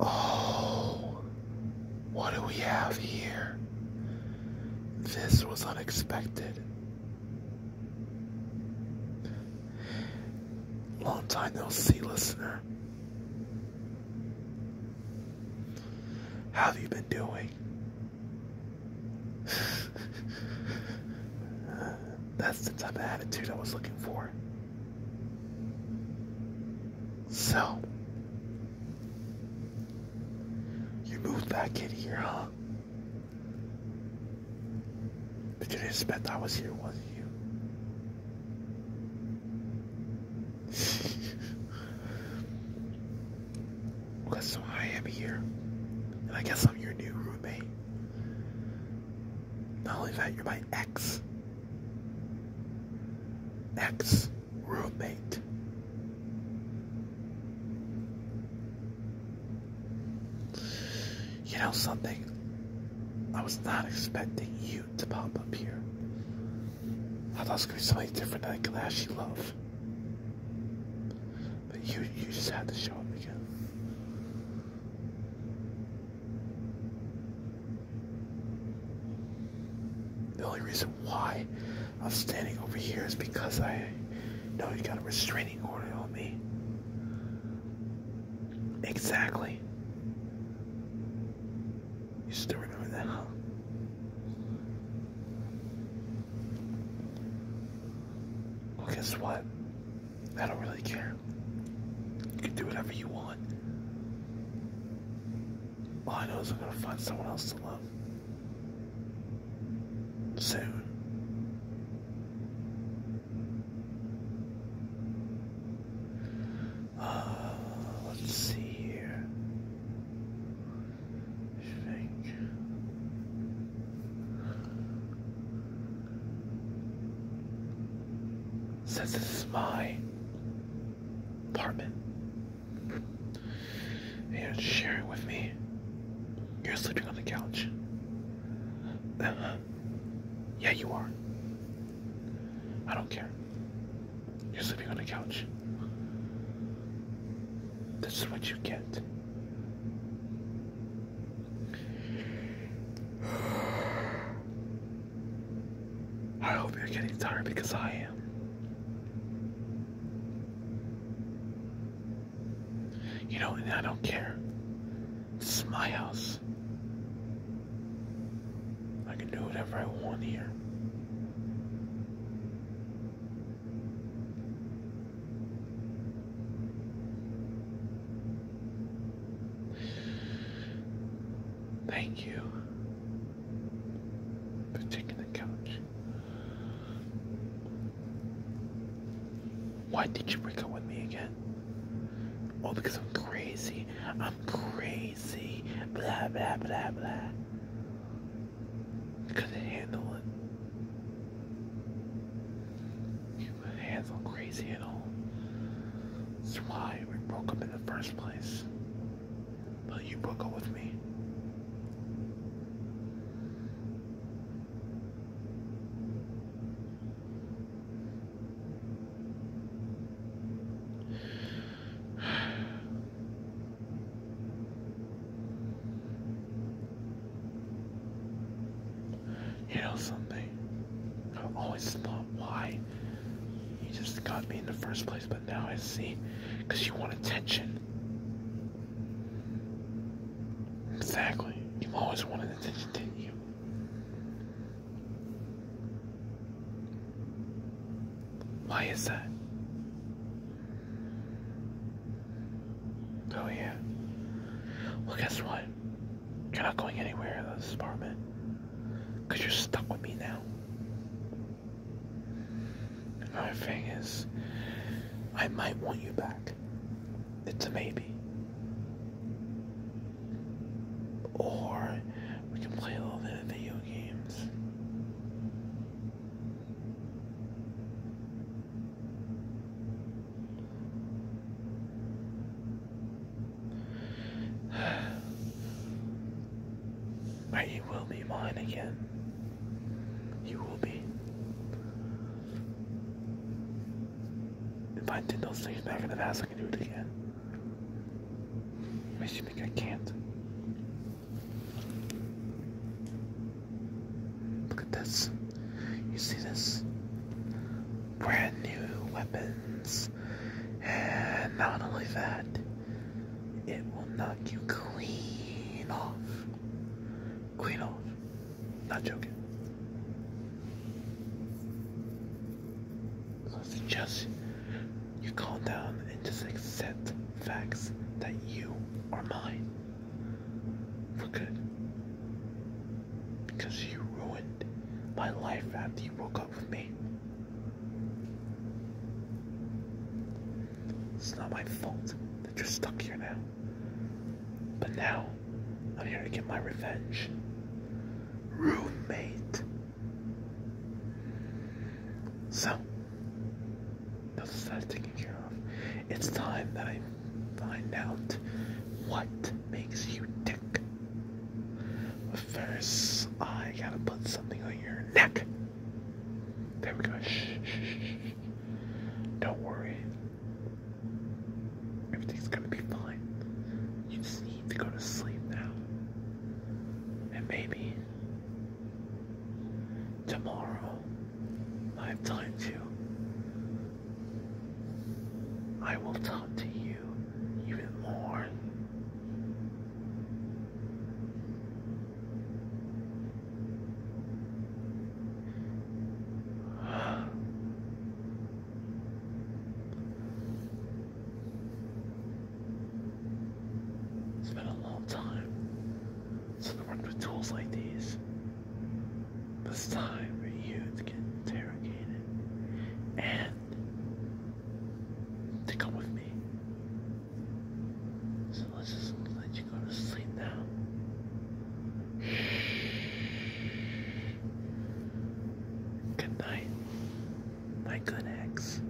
Oh, what do we have here? This was unexpected. Long time no see, listener. How have you been doing? that's the type of attitude I was looking for. So, you moved back in here, huh? But you didn't expect I was here, was you? Well, so I am here, and I guess I'm your new roommate. Not only that, you're my ex. Ex roommate. You know something? I was not expecting you to pop up here. I thought it was gonna be something different that I could actually love. But you you just had to show up again. The only reason why I'm standing over here is because I know you got a restraining order on me. Exactly. You still remember that, huh? Well, guess what? I don't really care. You can do whatever you want. All I know is I'm gonna find someone else to love. Soon. Ah, let's see here. I think. Since this is my apartment, you're sharing with me, you're sleeping on the couch. Uh -huh. Yeah, you are. I don't care. You're sleeping on the couch. This is what you get. I hope you're getting tired because I am. You know, and I don't care. This is my house. I can do whatever I want here. Thank you for taking the couch. Why did you break up with me again? Oh, because I'm crazy. I'm crazy. PC, blah, blah, blah, blah. Couldn't handle it. My hands crazy at all. That's why we broke up in the first place. But you broke up with me. You know something? i always thought why you just got me in the first place, but now I see. Because you want attention. Exactly. You've always wanted attention, didn't you? Why is that? Oh yeah. Well, guess what? You're not going anywhere in this apartment. Because you're stuck with me now. Another thing is, I might want you back. It's a maybe. Or we can play all the video games. But you will be mine again. You will be. If I did those things back in the past, I can do it again. Makes you think I can't. Look at this. You see this? Brand new weapons. And not only that, it will knock you clean off. Clean off. Not joking. Just, you calm down and just accept facts that you are mine for good. Because you ruined my life after you broke up with me. It's not my fault that you're stuck here now. But now, I'm here to get my revenge. Roommate. So, those is that taken care of. It's time that I find out what makes you tick. But first, I gotta put something on your neck. There we go. shh, shh, shh. Don't worry. Everything's gonna be fine. You just need to go to sleep now. And maybe Tomorrow, I have time to. I will talk to you even more. It's been a long time since I worked with tools like these. But it's time for you to get interrogated and to come with me. So let's just let you go to sleep now. Good night, my good ex.